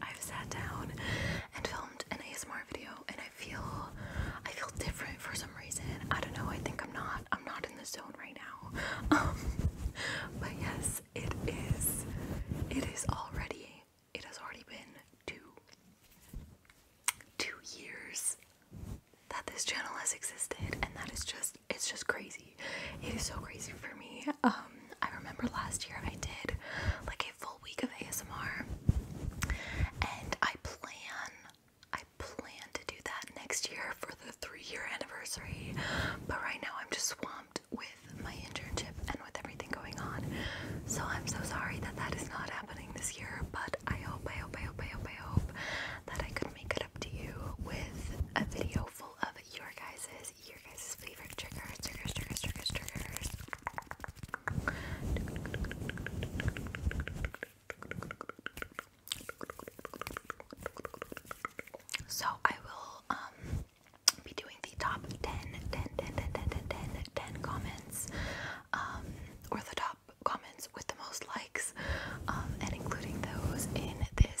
I've sat down and filmed an ASMR video and I feel I feel different for some reason. I don't know, I think I'm not I'm not in the zone right now. Um but yes, it is it is already it has already been two two years that this channel has existed and that is just it's just crazy. It is so crazy for me. Um, I remember last year I did like a full week of ASMR, and I plan I plan to do that next year for the three-year anniversary. But right now I'm just swamped with my internship and with everything going on. So I'm so sorry that that is not happening this year. But I hope, I hope, I hope, I hope, I hope that I could make it up to you with a video full of your guys's so I will um, be doing the top 10, comments, um, or the top comments with the most likes, um, and including those in this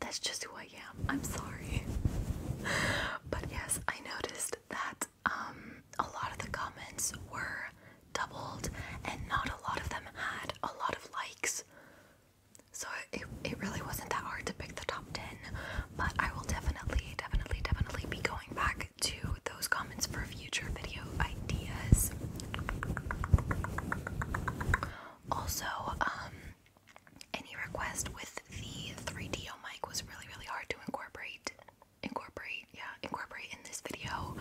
That's just who I am. I'm sorry. but yes, I noticed that um, a lot of the comments were doubled and not a lot of them had a lot of likes. So it, it really wasn't that hard to pick the top 10, but I will definitely, definitely, definitely be going back to those comments for future video ideas. Also, um, any request with the 3DO mic was really, really hard to incorporate. Incorporate, yeah, incorporate in this video.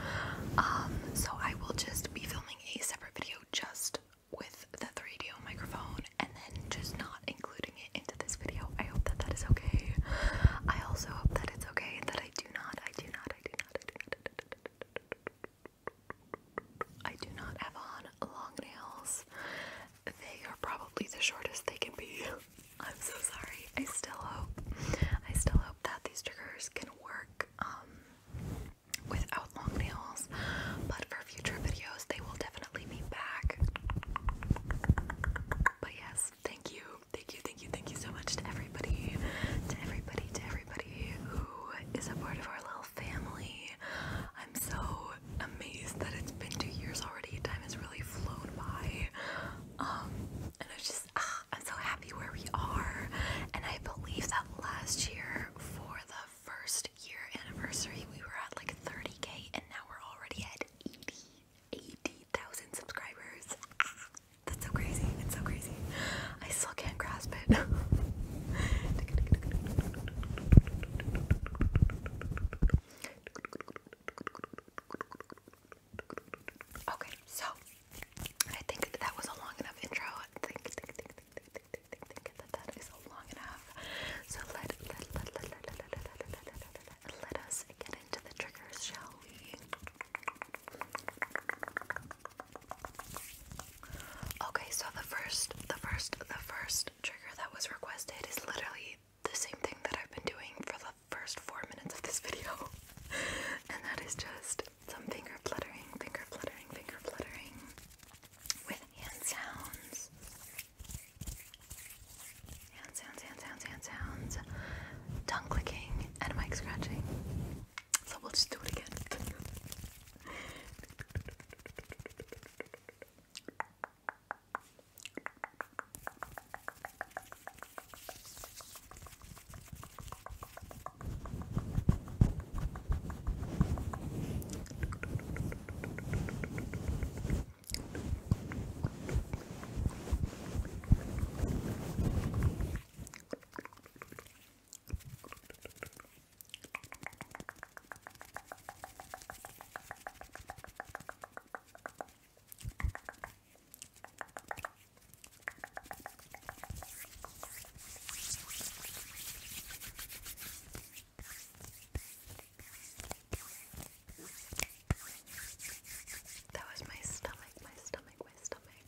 Um, so I will just be filming a separate video just with the 3DO microphone and then just not including it into this video. I hope that that is okay. I also hope that it's okay that I do not, I do not, I do not, I do not. I do not, I do not, I do not I do not have on long nails. They are probably the shortest they can be. I'm so sorry. I still hope I still hope that these triggers can work um, without long nails. But for future videos they will definitely be back. But yes, thank you. Thank you, thank you, thank you so much to everybody. To everybody, to everybody who is a part of our little family. I'm so amazed that it's been two years already. Time has really flown by. Um, and I am just, ah, I'm so happy where we are. And I believe that last year, for the first year anniversary, we were at like 30k, and now we're already at 80, 80, 000 subscribers. Ah. That's so crazy. It's so crazy. I still can't grasp it. okay, so I think that was a long enough intro. I think, that is long enough. So let let let let let let let let us get into the triggers, shall we? Okay, so the first, the first, the first trigger that was requested is literally the same thing that I've been doing for the first four minutes of this video, and that is just some finger fluttering, finger fluttering, finger fluttering with hand sounds. Hand sounds, hand sounds, hand sounds, tongue clicking, and mic scratching. So we'll just do it again. That was my stomach, my stomach, my stomach.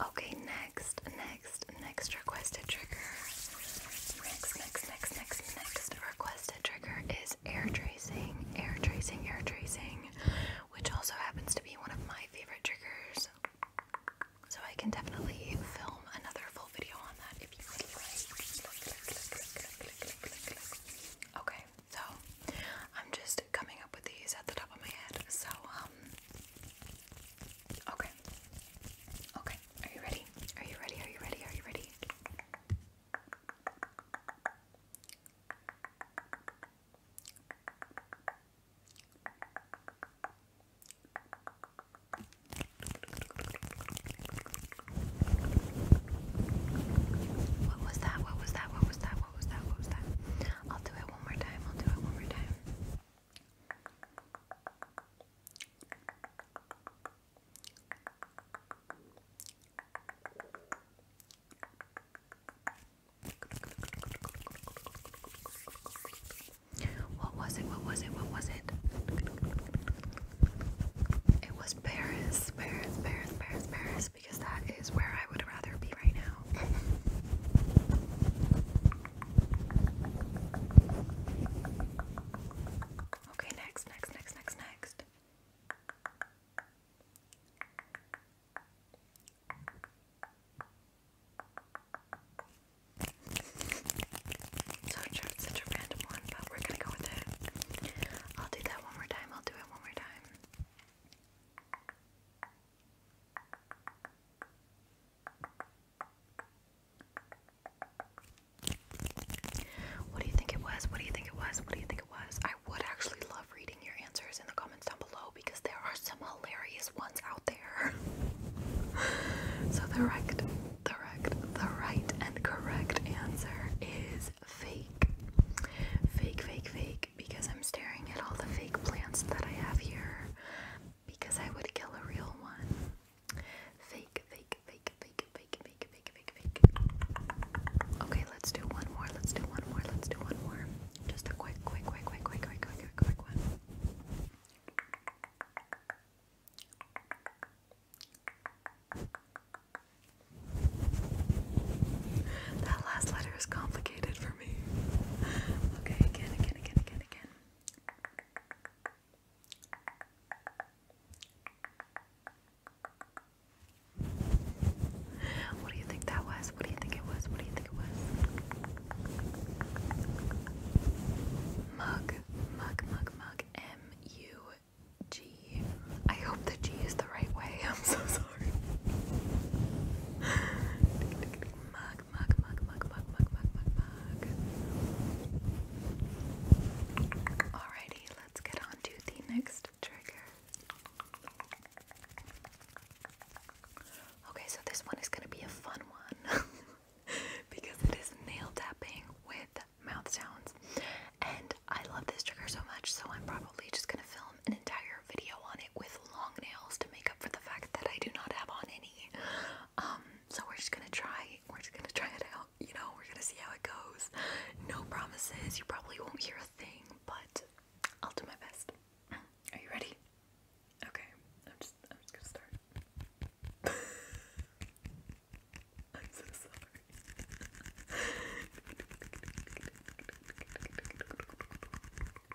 Okay, next, next, next requested trigger. Next, next, next, next, next requested trigger is air tracing, air tracing, air tracing, which also happens to be one of my favorite triggers. So I can definitely film another full video on that if you would like. Okay, so I'm just coming up with these at the top of my head. So, um, Okay. Okay. Are you ready? Are you ready? Are you ready? Are you ready? What was that? What was that? What was that? What was that? What was that? I'll do it one more time. I'll do it one more time. What was it? What was it? What was it? It was Paris, Paris, Paris, Paris, Paris, because that is where I would rather be right now okay, next, next, next, next, next. So I'm such a random one, but we're gonna go with it. I'll do that one more time. I'll do it one more time. What do you think it was? What do you think it was? What do you think it was? I would actually love reading your answers in the comments down below because there are some hilarious ones out there. so the right, the right, the right and correct answer is fake. Fake, fake, fake, sick because I'm staring at all the fake plants that I have here because I would kill a real one. Fake, fake, fake, fake, fake, fake, fake, fake, fake. Okay, let's do one more. Let's do one more. Let's do one more. Just a quick, quick, quick, quick, quick, quick, quick, quick, quick one. That last letter is complicated for for Okay, again, again, again, again, again. What do you think that was? What do you think it was? What do you think it was? Mug, mug, mug, mug, M U G. I hope the G is the right way. I'm so sorry. Alrighty, let's get on to the next trigger. Okay, so this one is gonna be a fun one because it is nail tapping with mouth sounds. And I love this trigger so much, so I'm probably just gonna film an entire video on it with long nails to make up for the fact that I do not have on any. Um, so we're just gonna try, we're just gonna try it out, you know, we're gonna see how it goes. No promises, you probably won't hear a thing, but I'll do my best. Are you ready? Okay, I'm just I'm just gonna start. I'm so sorry.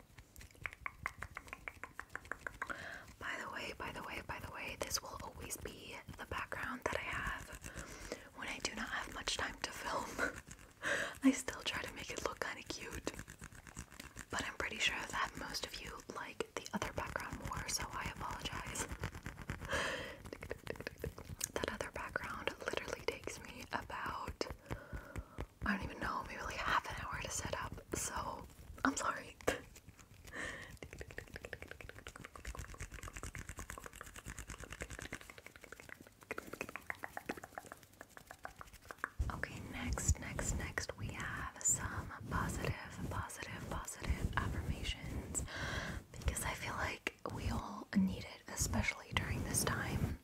By the way, by the way, by the way, this will always be the background that I have when I do not have much time to film. I still try to make it look kind of cute. But I'm pretty sure that most of you like the other background more, so I apologize. that other background literally takes me about I don't even know, maybe like half an hour to set up, so I'm sorry. okay, next, next, next, we have some positive, positive, positive affirmations because I feel like we all need it, especially during this time.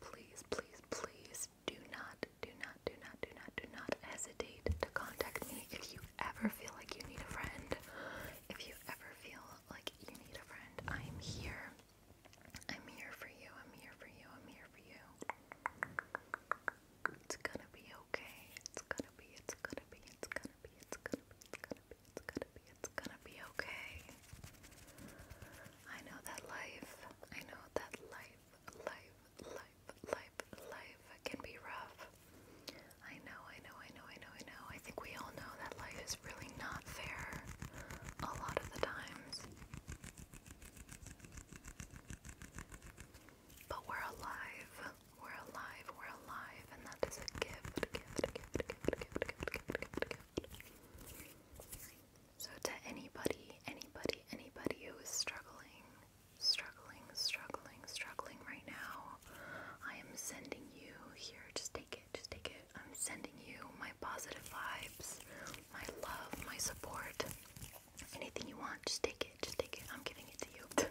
please, please, please do not, do not, do not, do not, do not hesitate to contact me if you ever feel like you need a friend. If you ever feel like you need a friend, I'm here. I'm here for you. I'm here for you. I'm here for you. It's gonna be okay. It's gonna be, it's gonna be, it's gonna be, it's gonna be, it's gonna be, it's gonna be. It's gonna be it's gonna be okay. I know that life, I know that life, life, life, life, life can be rough. I know, I know, I know, I know, I know. I think we all know that life is really not fair a lot of the times. But we're alive. We're alive. We're alive. And that is a gift. Gift, gift, gift, gift, gift, gift, gift, gift. So, to anybody, anybody, anybody who is struggling, struggling, struggling, struggling right now, I am sending you here. Just take it, just take it. I'm sending you my positive vibes, my love, my support. Anything you want, just take it, just take it. I'm giving it to you.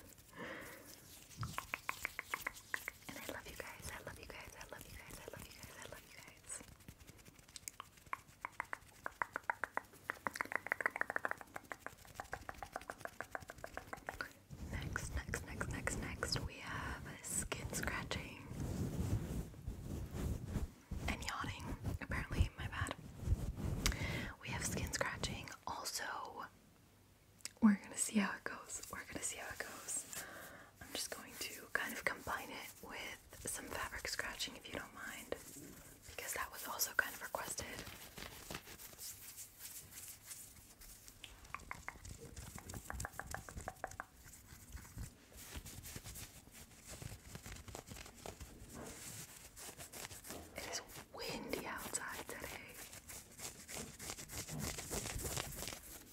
and I love you guys. I love you guys. I love you guys. I love you guys. I love you guys. Next, next, next, next, next, we have skin scratching and yawning. Apparently, my bad. We have skin scratching. Also, we're gonna see how it goes. We're gonna see how it goes. I'm just going to kind of combine it with some fabric scratching if you don't mind, because that was also kind of requested. It is windy outside today.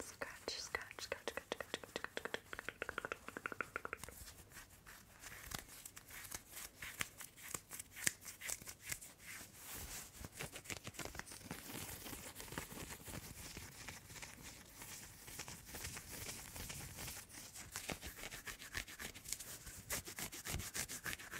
Scratch, scratch, scratch, scratch, scratch, scratch, scratch. Good.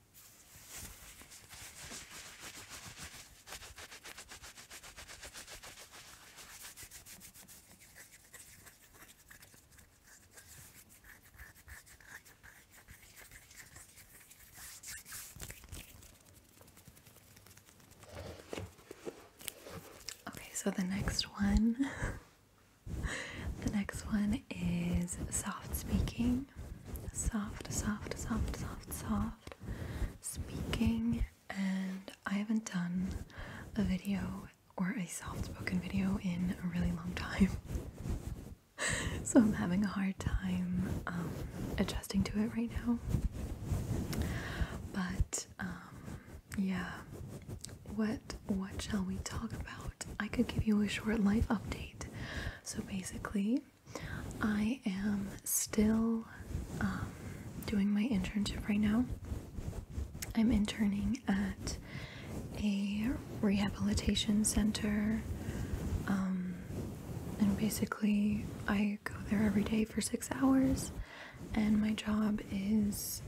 Okay, so the next one, the next one is soft speaking soft, soft, soft, soft, soft speaking, and I haven't done a video or a soft spoken video in a really long time. so I'm having a hard time um, adjusting to it right now. But um, yeah, what what shall we talk about? I could give you a short life update. So basically, I am still um, doing my internship right now. I'm interning at a rehabilitation center, um, and basically, I go there every day for six hours, and my job is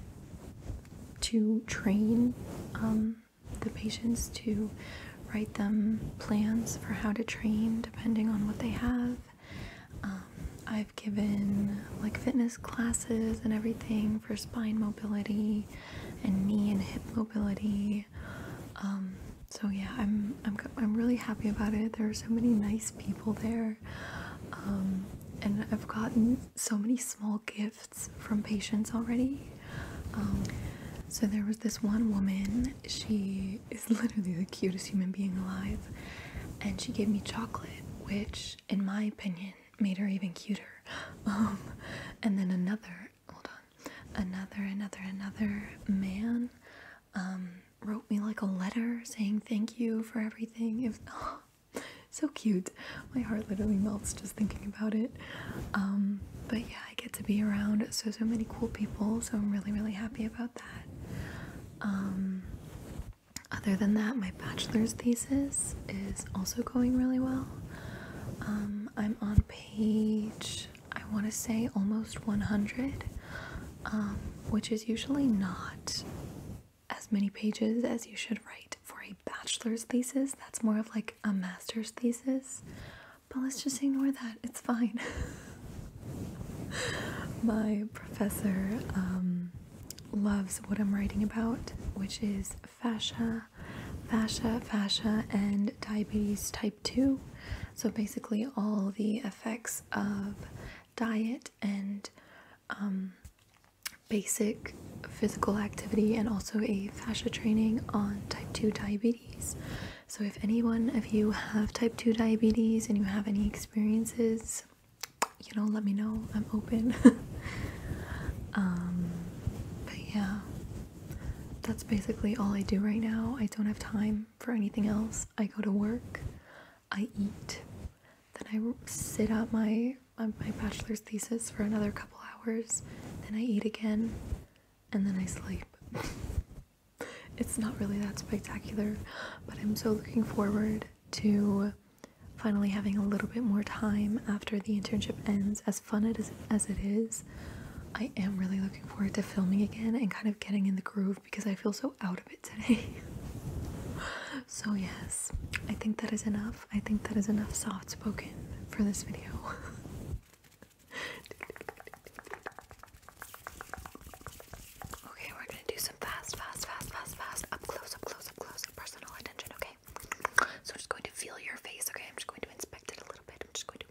to train um, the patients to write them plans for how to train depending on what they have. Um, I've given like fitness classes and everything for spine mobility and knee and hip mobility. Um, so yeah, I'm, I'm, I'm really happy about it. There are so many nice people there. Um, and I've gotten so many small gifts from patients already um, so there was this one woman, she is literally the cutest human being alive, and she gave me chocolate, which, in my opinion, made her even cuter. Um, and then another, hold on, another, another, another man um, wrote me like a letter saying thank you for everything. It so cute. My heart literally melts just thinking about it. Um, but yeah, I get to be around so so many cool people, so I'm really really happy about that. Um, other than that, my bachelor's thesis is also going really well. Um, I'm on page, I want to say almost 100, which is usually not as many pages as you should write for a bachelor's thesis. That's more of like a master's thesis. But let's just ignore that. It's fine. My professor um, loves what I'm writing about, which is fascia, fascia, fascia, and diabetes type 2. So basically, all the effects of diet and um, basic physical activity, and also a fascia training on type 2 diabetes. So, if any one of you have type 2 diabetes and you have any experiences, you know, let me know. I'm open. Um, but yeah, that's basically all I do right now. I don't have time for anything else. I go to work, I eat, then I sit at my my bachelor's thesis for another couple hours, then I eat again, and then I sleep. it's not really that spectacular, but I'm so looking forward to finally having a little bit more time after the internship ends. As fun it is, as it is, I am really looking forward to filming again and kind of getting in the groove because I feel so out of it today. so yes, I think that is enough. I think that is enough soft spoken for this video. Okay, we're gonna do some fast, fast, fast, fast, fast, up close, up close, up close, personal attention, okay? So I'm just going to feel your face, okay? I'm just going to inspect it a little bit. I'm just going to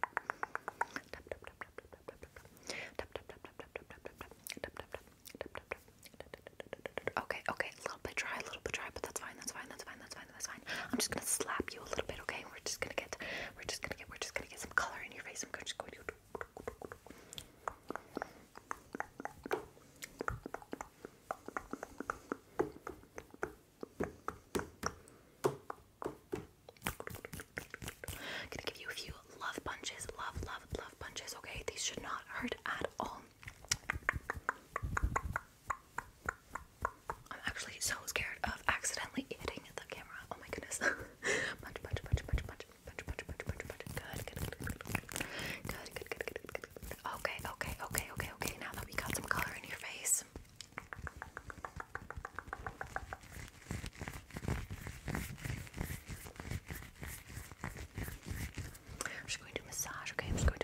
Okay, okay, a little bit dry, a little bit dry, but that's fine, that's fine, that's fine, that's fine that's fine. I'm just gonna slap you a little bit, okay? We're just gonna get, we're just gonna get, we're just gonna get some color in your face. I'm just going to. I'm gonna give you a few love punches, love, love, love punches. Okay, these should not hurt at all. I'm actually so scared of accidentally hitting the camera. Oh my goodness. punch, punch, punch, Good, good, good, good, good, good, good, good, good, good. Okay, okay, okay, okay, okay. Now that we got some color in your face. I'm just going to massage, okay? I'm just going to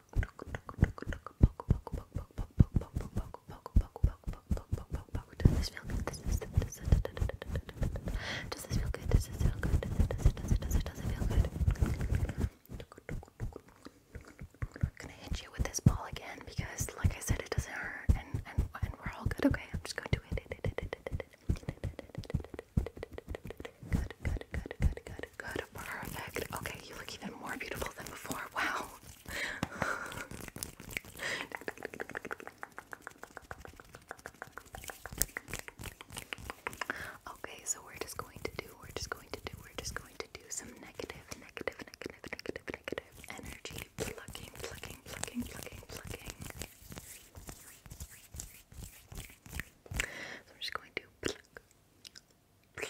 Does this feel good? Does this feel good? Does this feel good? Does this feel good? Does this feel good? Does it feel good? I'm gonna hit you with this ball again because, like I said, it doesn't hurt, and and and we're all good. Okay, I'm just going to hit it. Good, good, good, good, good, good, Good, perfect. Okay, you look even more beautiful than before. Wow. okay, so we're just going to do, we're just going to do, we're just going to do some negative, negative, negative, negative, negative energy. Plucking, plucking, plucking, plucking, plucking. I'm just going to we're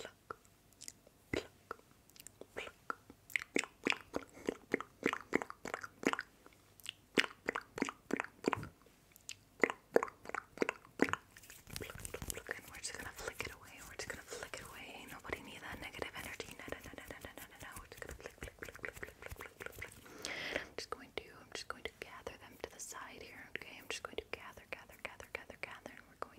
just gonna flick it away. We're just gonna flick it away. Nobody need that negative energy. No, no, no, no, no, no, no, I'm just going to, I'm just going to gather them to the side here. Okay, I'm just going to gather, gather, gather, gather, gather, we're going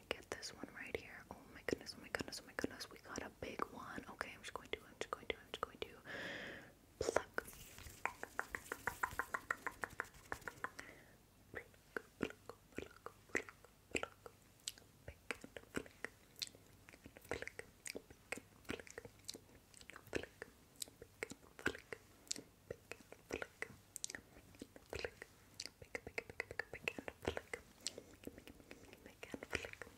get this one right here. Oh my goodness, oh my goodness, oh my goodness, we got a big one. Okay, I'm just going to, I'm just going to, I'm just going to pluck flick, pick, pick, pick, pick, and flick, pick, and flick. Pluck,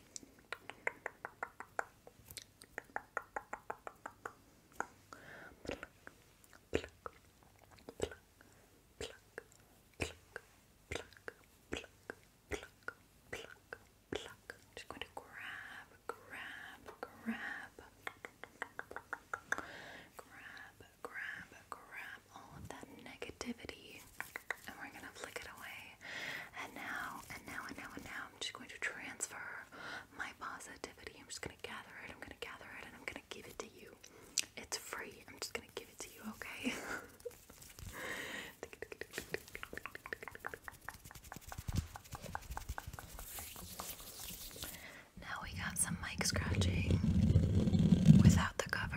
pluck, pluck, pluck, pluck, pluck, pluck, pluck, pluck, pluck. Just going to grab, grab, grab, grab, grab, grab all of that negativity and we're gonna flick it away. And now, and now, and now, and now, I'm just going to transfer my positivity. I'm just gonna gather it, I'm gonna gather it, and I'm gonna give it to you. It's free. I'm just gonna give it to you, okay? Now we got some mic scratching without the cover.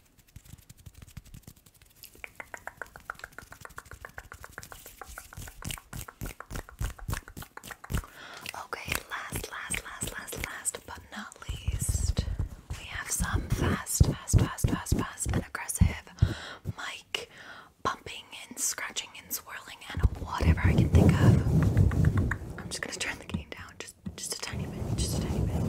Okay, last, last, last, last, last, but not least, we have some fast, fast, fast, fast, fast, and aggressive mic bumping and scratching and swirling and whatever I can think of. I'm just gonna turn the game down. Just just just a tiny bit, just a tiny bit. Just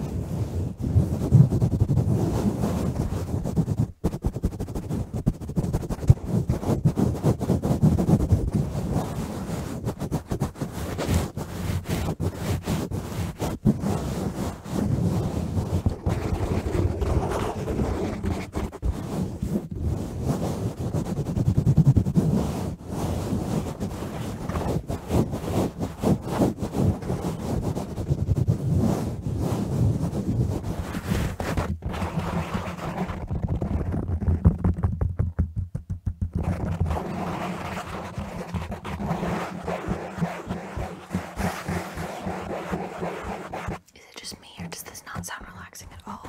is it just me, or does this not sound relaxing at all?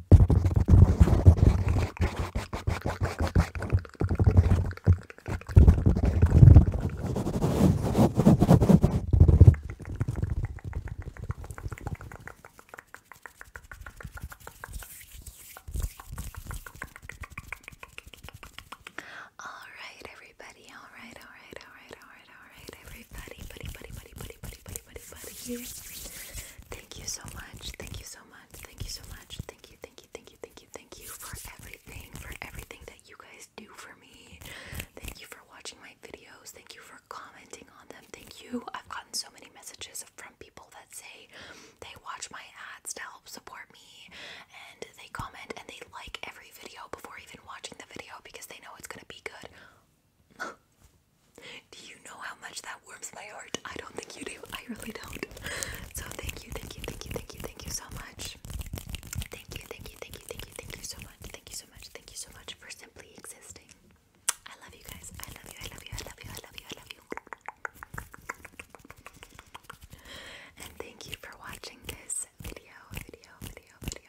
All right, everybody. All right, all right, all right, all right, all right, everybody. Buddy, buddy, buddy, buddy, buddy, buddy buddy, buddy, buddy, buddy. Thank you so much. Thank you so much. Thank you so much. Thank you, thank you, thank you, thank you, thank you for everything, for everything that you guys do for me. Thank you for watching my videos. Thank you for commenting on them. Thank you. I've gotten so many messages from people that say they watch my ads to help support me and they comment and they like every video before even watching the video because they know it's going to be good. Do you know how much that warms my heart? I don't think you do. I really don't. So thank you, thank you, thank you, thank you, thank you so much. Thank you, thank you, thank you, thank you, thank you so much. Thank you so much. Thank you so much for simply existing. I love you guys. I love you. I love you. I love you. I love you. I love you. And thank you for watching this video, video, video, video,